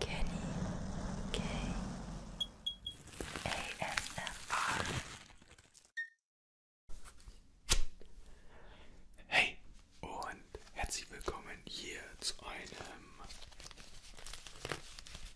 Kenny K ASMR. Hey und herzlich willkommen hier zu einem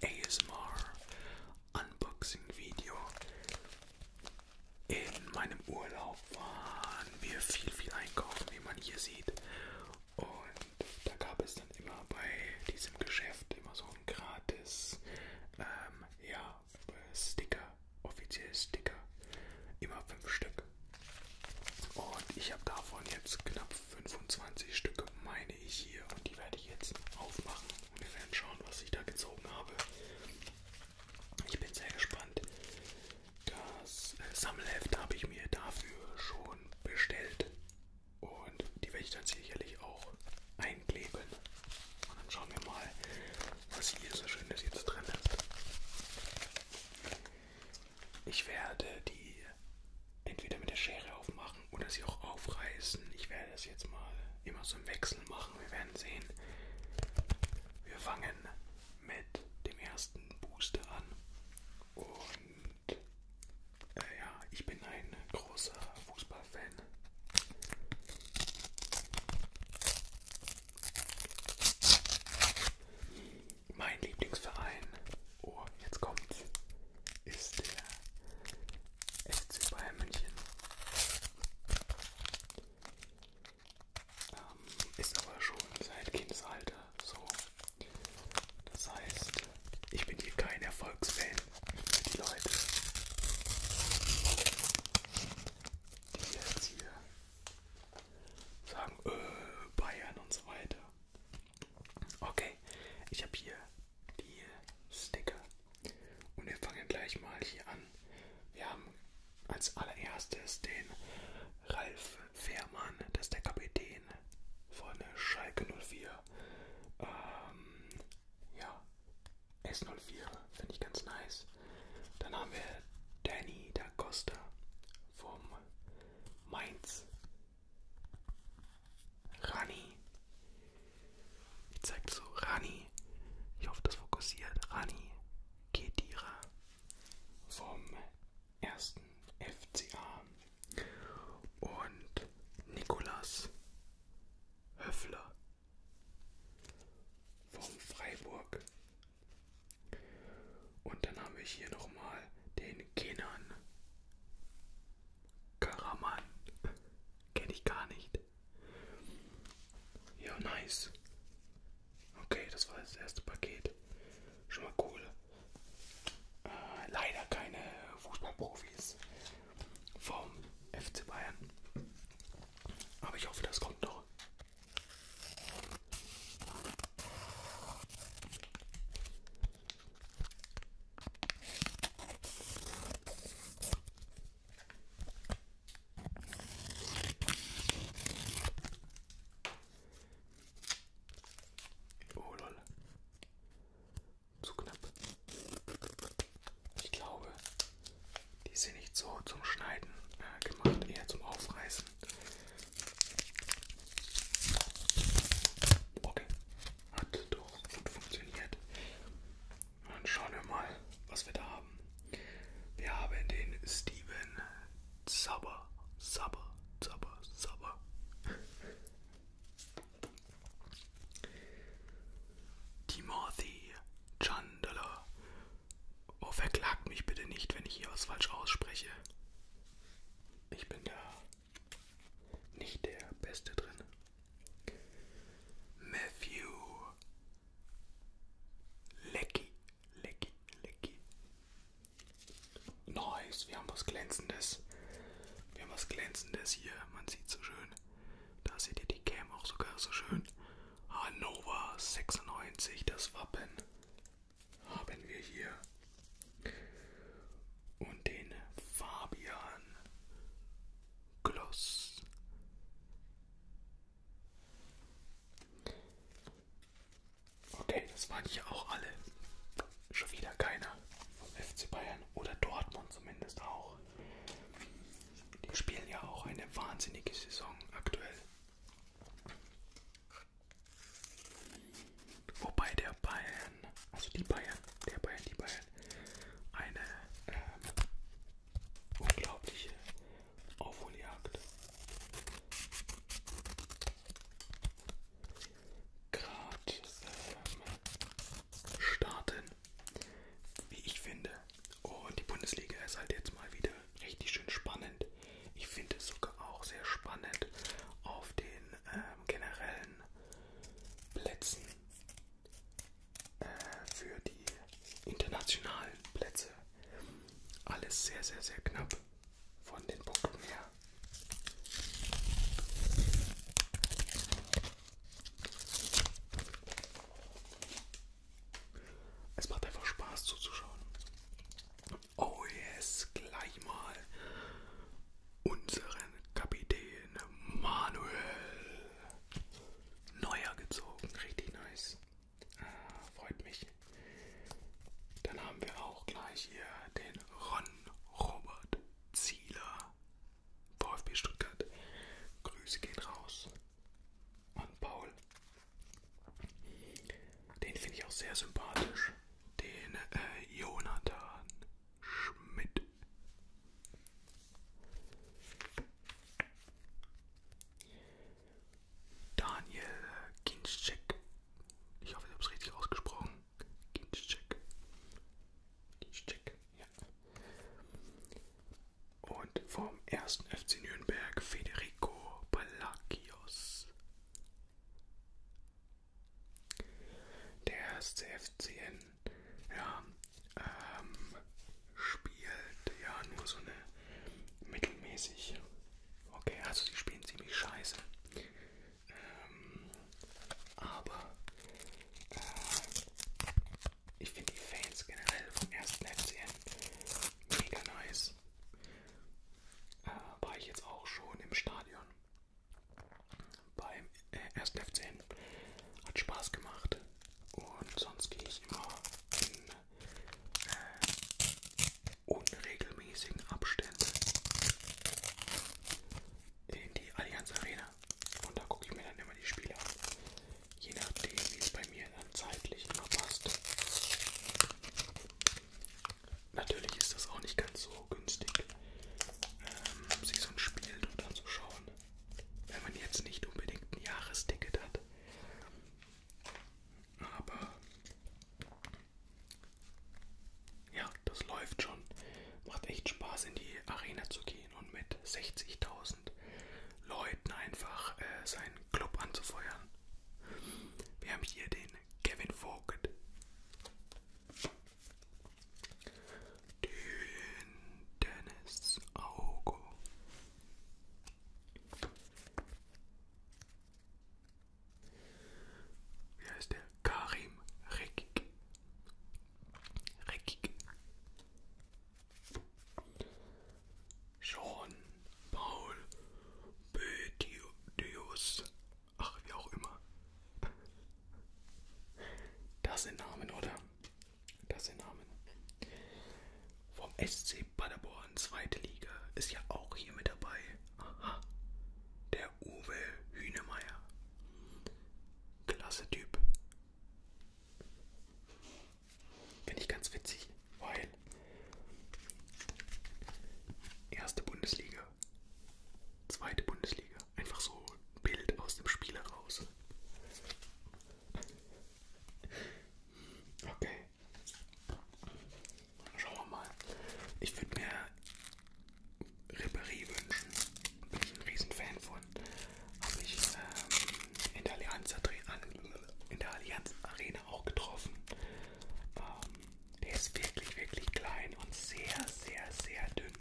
ASMR Unboxing Video. In meinem Urlaub waren wir viel, viel einkaufen, wie man hier sieht. Und und da gab es dann immer bei diesem Geschäft immer so ein gratis ähm, ja, Sticker, offizielle Sticker. Immer fünf Stück. Und ich habe davon jetzt knapp 25 Stück, meine ich hier. Und die werde ich jetzt aufmachen. Und wir werden schauen, was ich da gezogen habe. Ich bin sehr gespannt. Das äh, Sammelheft habe ich mir dafür schon schon bestellt und die werde ich dann sicherlich auch einkleben. Und dann schauen wir mal, was hier so schönes jetzt drin ist. Ich werde die entweder mit der Schere aufmachen oder sie auch aufreißen. Ich werde das jetzt mal immer so im Wechsel machen. Wir werden sehen. Wir fangen mit dem ersten Booster an und und äh, ja, ich bin ein großer Fußballfan. Mein Lieblingsverein, oh, jetzt kommt's, ist der FC Bayern München. Ähm, ist aber schon seit Kindesalter so. Das heißt, ich bin hier kein Erfolgsfan für die Leute, die jetzt hier sagen, äh, Bayern und so weiter. Okay, ich habe hier die Sticker und wir fangen gleich mal hier an. Wir haben als allererstes den Ralf Fährmann, das ist der Kapitän von Schalke 04. Ähm, ja, S04 finde ich ganz nice. Dann haben wir Danny da Costa vom Mainz. Rani. Ich zeig so Rani. Ich hoffe, das fokussiert. Rani Kedira vom ersten FCA und Nikolas Höffler vom Freiburg. Und dann haben wir hier nochmal den Kenan Karaman. Kenne ich gar nicht. Ja, nice. Okay, das war das erste Paket. Schon mal cool leider keine Fußballprofis vom FC Bayern. Aber ich hoffe, das kommt noch. Oh lol. Zu knapp. Ich glaube, die sind nicht so zum Schneiden äh, gemacht, eher zum Aufreißen. Okay, hat doch gut funktioniert. Dann schauen wir mal, was wir da haben. Wir haben den Steven Sabber, Sabber, Sabber, Sabber. Timothy Chandler. Oh, verklagt mich bitte nicht, wenn ich hier was falsch ausspreche. Ich bin da nicht der Beste drin. Matthew Lecky. Lecky, lecky. Nice, wir haben was Glänzendes. Wir haben was Glänzendes hier. Man sieht so schön. Da seht ihr die Cam auch sogar so schön. Hannover 96, das Wappen haben wir hier. Und den Fabian Gloss. Okay, das waren hier auch alle. Schon wieder keiner vom FC Bayern oder Dortmund zumindest auch. Die spielen ja auch eine wahnsinnige Saison aktuell. Wobei der Bayern, also die Bayern, der Bayern, die Bayern, eine ähm, unglaubliche Aufholjagd gerade ähm, starten, wie ich finde. Und die Bundesliga ist halt jetzt mal wieder richtig schön spannend. Ich finde es sogar auch sehr spannend auf den ähm, generellen Plätzen äh, für die internationalen Plätze. Alles sehr, sehr, sehr knapp von den Punkten her. Es macht einfach Spaß zuzuschauen. Oh yes, gleich mal unseren Kapitän Manuel Neuer gezogen. Richtig nice. Ah, freut mich. Dann haben wir auch gleich hier den Ron Robert Zieler, VfB Stuttgart. Grüße gehen raus an Paul. Den finde ich auch sehr sympathisch. Den äh, Jonathan Schmidt. Daniel Ginczek. Ich hoffe, ich habe es richtig ausgesprochen. Ginczek. Ginczek, ja. Und vom 1. FC Nürnberg Federico Palacios. Der 1. FCN, ja, ähm, spielt ja nur so eine mittelmäßig Okay, also sie spielen ziemlich scheiße. Ähm, aber äh, ich finde die Fans generell vom ersten FCN mega nice. Äh, war ich jetzt auch schon im Stadion. Beim äh, ersten FCN hat Spaß gemacht. Und sonst gehe ich immer in, äh, unregelmäßigen Abständen in die Allianz Arena. Und da gucke ich mir dann immer die Spiele an. Je nachdem, wie es bei mir dann zeitlich immer passt. Natürlich ist das auch nicht ganz so günstig, ähm, sich so ein Spiel dort anzuschauen. Wenn man jetzt nicht unbedingt ein Jahresticket hat. Aber ja, das läuft schon. Macht echt Spaß, in die Arena zu gehen und mit 60.000 Leuten einfach äh, seinen Club anzufeuern. Wir haben hier den Kevin Vogt. Den Dennis Augo. Wie heißt der? Karim Rekik. Rekik. Sean Paul Betius. Ach, wie auch immer. Das sind Namen, oder? Das sind Namen. Vom SC Paderborn, zweite Liga, ist ja auch hier mit dabei. Aha, der Uwe Hühnemeier. Klasse Typ. Finde ich ganz witzig, weil erste Bundesliga, zweite Bundesliga, einfach so ein Bild aus dem Spieler raus. Okay. Schauen wir mal. Ich würde mir Ribéry wünschen. Bin ich ein Riesenfan von. Habe ich ähm, in, der Allianz, in der Allianz Arena auch getroffen. Ähm, der ist wirklich, wirklich klein und sehr, sehr, sehr dünn.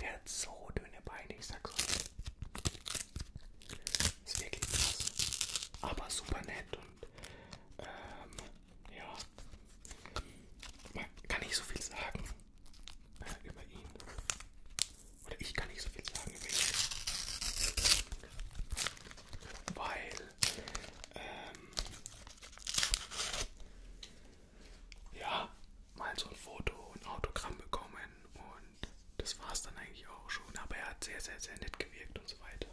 Der hat so dünne Beine, ich sag's euch. Ist wirklich krass. Aber super nett und ähm, ja, man kann nicht so viel sagen äh, über ihn. Oder ich kann nicht so viel sagen über ihn. Weil, ähm, ja, mal so ein Foto und Autogramm bekommen und das war es dann eigentlich auch schon. Aber er hat sehr, sehr, sehr nett gewirkt und so weiter.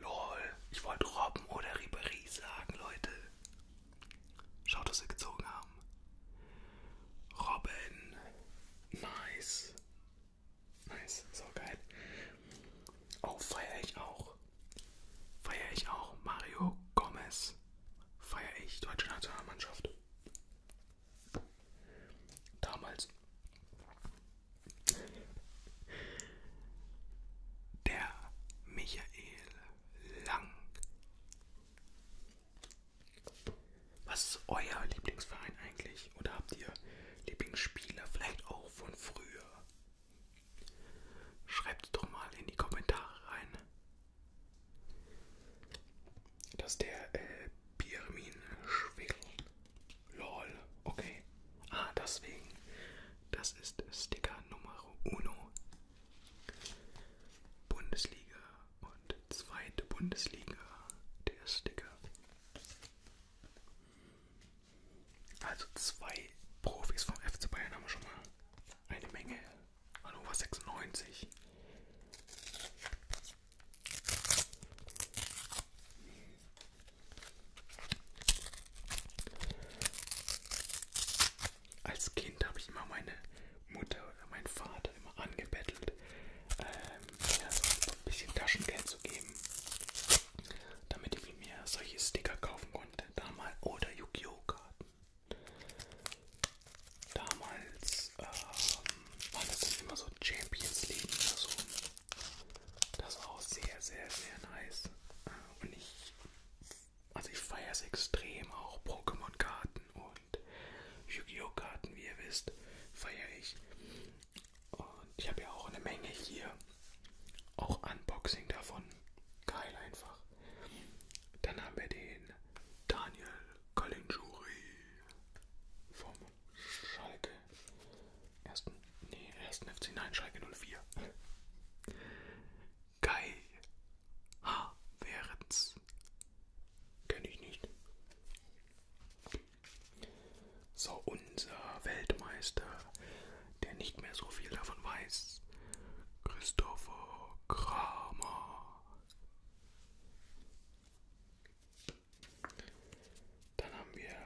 Lol, ich wollte Robben oder Ribéry sagen, Leute. Schaut, was wir gezogen haben. Robben. Nice. Nice, so geil. Oh, feiere ich auch. Feiere ich auch. Mario Gomez. Feiere ich. Deutsche Nationalmannschaft. Damals der Michael Lang. Was ist euer Lieblingsverein eigentlich? Oder habt ihr Lieblingsspieler vielleicht auch von früher? Schreibt es doch mal in die Kommentare rein. Dass der äh, Pirmin Schwickel Lol, okay. Ah, deswegen. Das ist Sticker Nummer Uno. Bundesliga und zweite Bundesliga. Der Sticker. Also zwei Profis vom FC Bayern haben wir schon mal eine Menge. Hannover 96. Als Kind habe ich immer meine Mutter oder meinen Vater immer angebettelt, ähm, mir so ein bisschen Taschengeld zu geben, damit ich mir solche Sticker kaufen konnte. Damals oder Yu-Gi-Oh! Karten. Damals ähm, war das dann immer so Champions League oder so. Das war auch sehr, sehr, sehr nice. Äh, und ich, also ich feiere es extrem, auch Pokémon-Karten und Yu-Gi-Oh-Karten, wie ihr wisst, feiere ich. Und ich habe ja auch eine Menge hier. Auch Unboxing davon. Geil einfach. Dann haben wir den Daniel Caligiuri vom Schalke ersten, nee, ersten FC, nein, Schalke 04. Kai H. Währens. Kenne ich nicht. So, unser Weltmeister, der nicht mehr so viel davon weiß, Christopher Kramer. Dann haben wir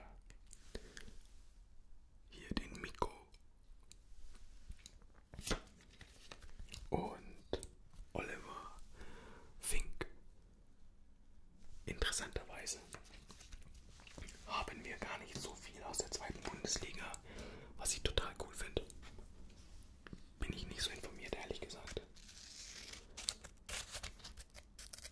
hier den Mikro und Oliver Fink. Interessanterweise haben wir gar nicht so viel aus der zweiten Bundesliga, was ich total cool finde. Bin ich nicht so informiert, ehrlich gesagt.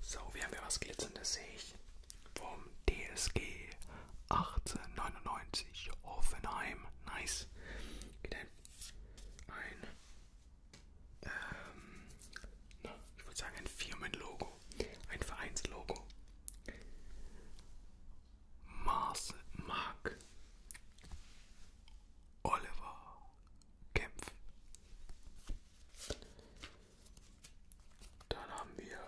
So, wir haben ja was Glitzerndes, sehe ich. Vom DSG 1899 Hoffenheim. Nice. Wieder ein, ähm, na, ich würde sagen ein Firmenlogo, ein Vereinslogo. Mars Mark Oliver Kempf. Dann haben wir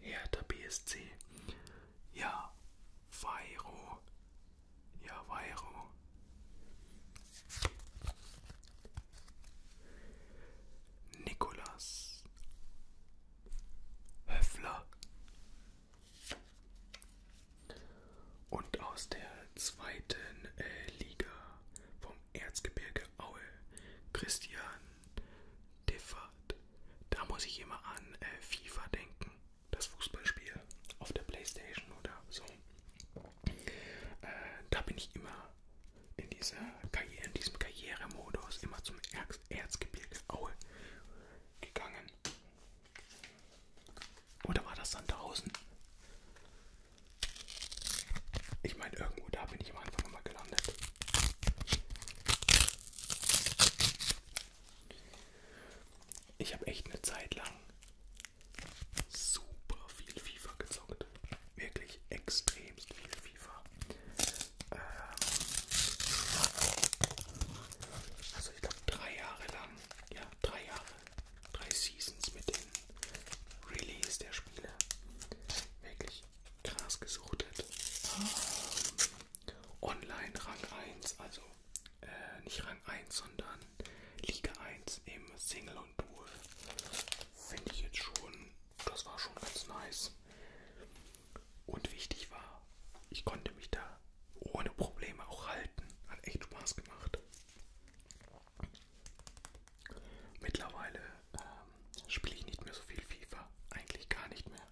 Hertha BSC. Ja, Weiro. Ja, Weiro. Nikolas Höfler. Und aus der zweiten äh, Liga vom Erzgebirge Aue, Christian Tiffert. Da muss ich immer an äh, FIFA denken, das Fußballspiel auf der Playstation oder so. Äh, da bin ich immer in, dieser Karriere, in diesem Karrieremodus immer zum Erz Erzgebirge Aue gegangen. Oder war das Sandhausen? Ich meine, irgendwo da bin ich am Anfang immer gelandet. Ich habe echt eine Zeit lang super viel FIFA gezockt. Wirklich extremst viel FIFA. Ähm also ich glaube drei Jahre lang, ja drei Jahre, drei Seasons mit dem Release der Spiele. Wirklich Gras gesuchtet. Online Rang 1, also äh, nicht Rang 1, sondern Liga 1 im Single und Duel. Finde ich jetzt schon, das war schon ganz nice. Und wichtig war, ich konnte mich da ohne Probleme auch halten. Hat echt Spaß gemacht. Mittlerweile ähm, spiele ich nicht mehr so viel FIFA, eigentlich gar nicht mehr.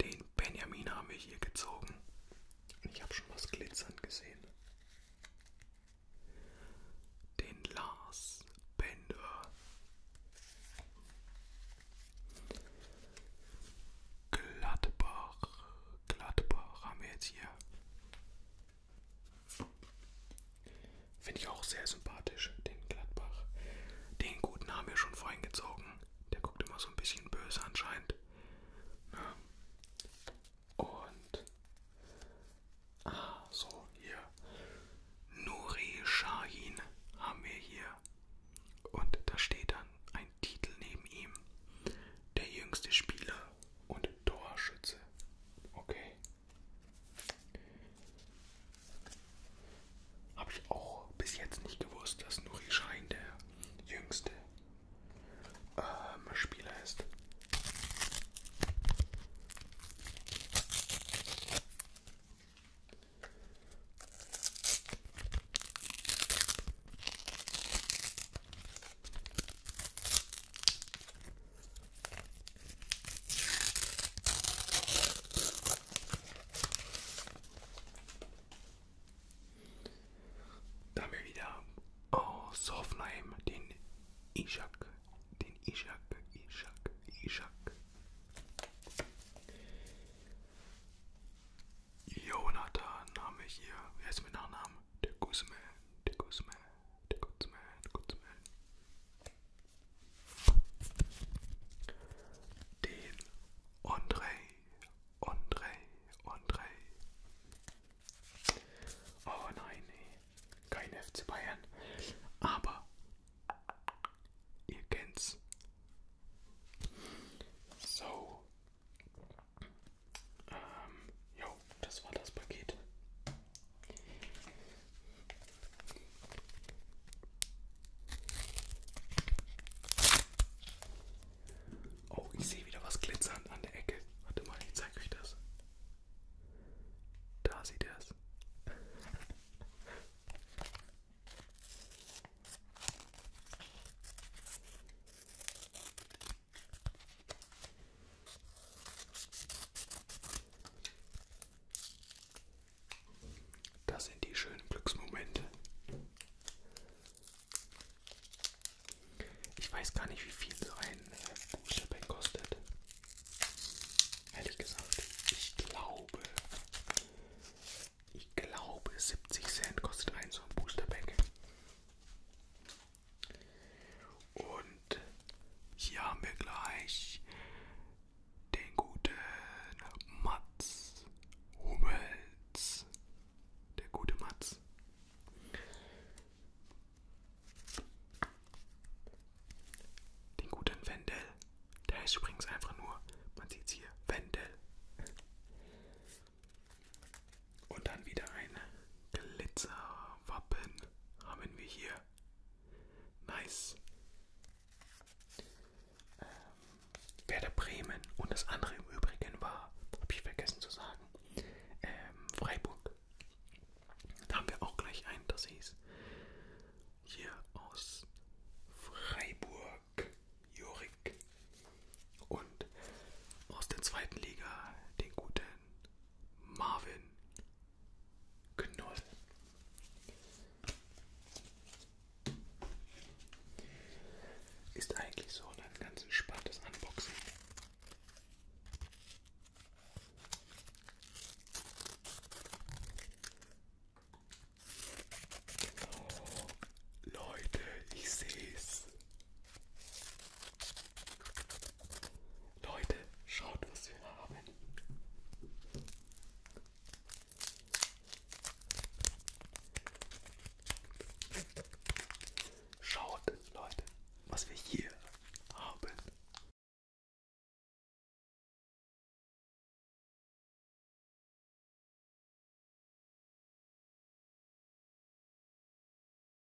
Den Benjamin haben wir hier gezogen. Und ich habe schon was glitzern gesehen. Den Lars Bender. Gladbach. Gladbach haben wir jetzt hier. Finde ich auch sehr sympathisch, den Gladbach. Den guten haben wir schon vorhin gezogen. Der guckt immer so ein bisschen böse anscheinend. Ja. Und. Ah, so, hier. Nuri Shahin haben wir hier. Und da steht dann ein Titel neben ihm. Der jüngste Spieler und Torschütze. Okay. Habe ich auch bis jetzt nicht gewusst, dass Nuri Schein der jüngste ähm, Spieler ist. Da haben wir wieder aus oh, Hoffenheim den Ishak, den Ishak, Ishak, Ishak. Jonathan haben wir hier, wer ist mit Nachnamen? Der Guzman, der Guzman the good man, good man. Den André, André, André. Oh nein, nee. kein FC Bayern. Aber ihr kennt's. So, ähm, jo, das war das Paket. Oh, ich sehe wieder was glitzern an der Ecke. Warte mal, ich zeige euch das. Da sieht er es. Das sind die schönen Glücksmomente. Ich weiß gar nicht, wie viel so ein äh, Boosterpack kostet. Ehrlich gesagt, ich glaube, ich glaube 70 Cent kostet ein so ein Boosterpack. Und hier haben wir gleich den guten Mats Hummels. Der gute Mats. Den guten Wendel. Der heißt übrigens einfach nur, man sieht es hier, Wendel. Und dann wieder ein Glitzerwappen haben wir hier. Nice. Ähm, Werder Bremen und das andere im Übrigen war, habe ich vergessen zu sagen, ähm, Freiburg. Da haben wir auch gleich ein, das hieß hier aus Freiburg, Jorik. Und aus der zweiten Liga, den gute Marvin Knoll. Ist eigentlich so ein ganz entspanntes Unboxing. Oh, Leute, ich sehe es. Leute, schaut, was wir haben. Schaut, Leute, was wir hier haben.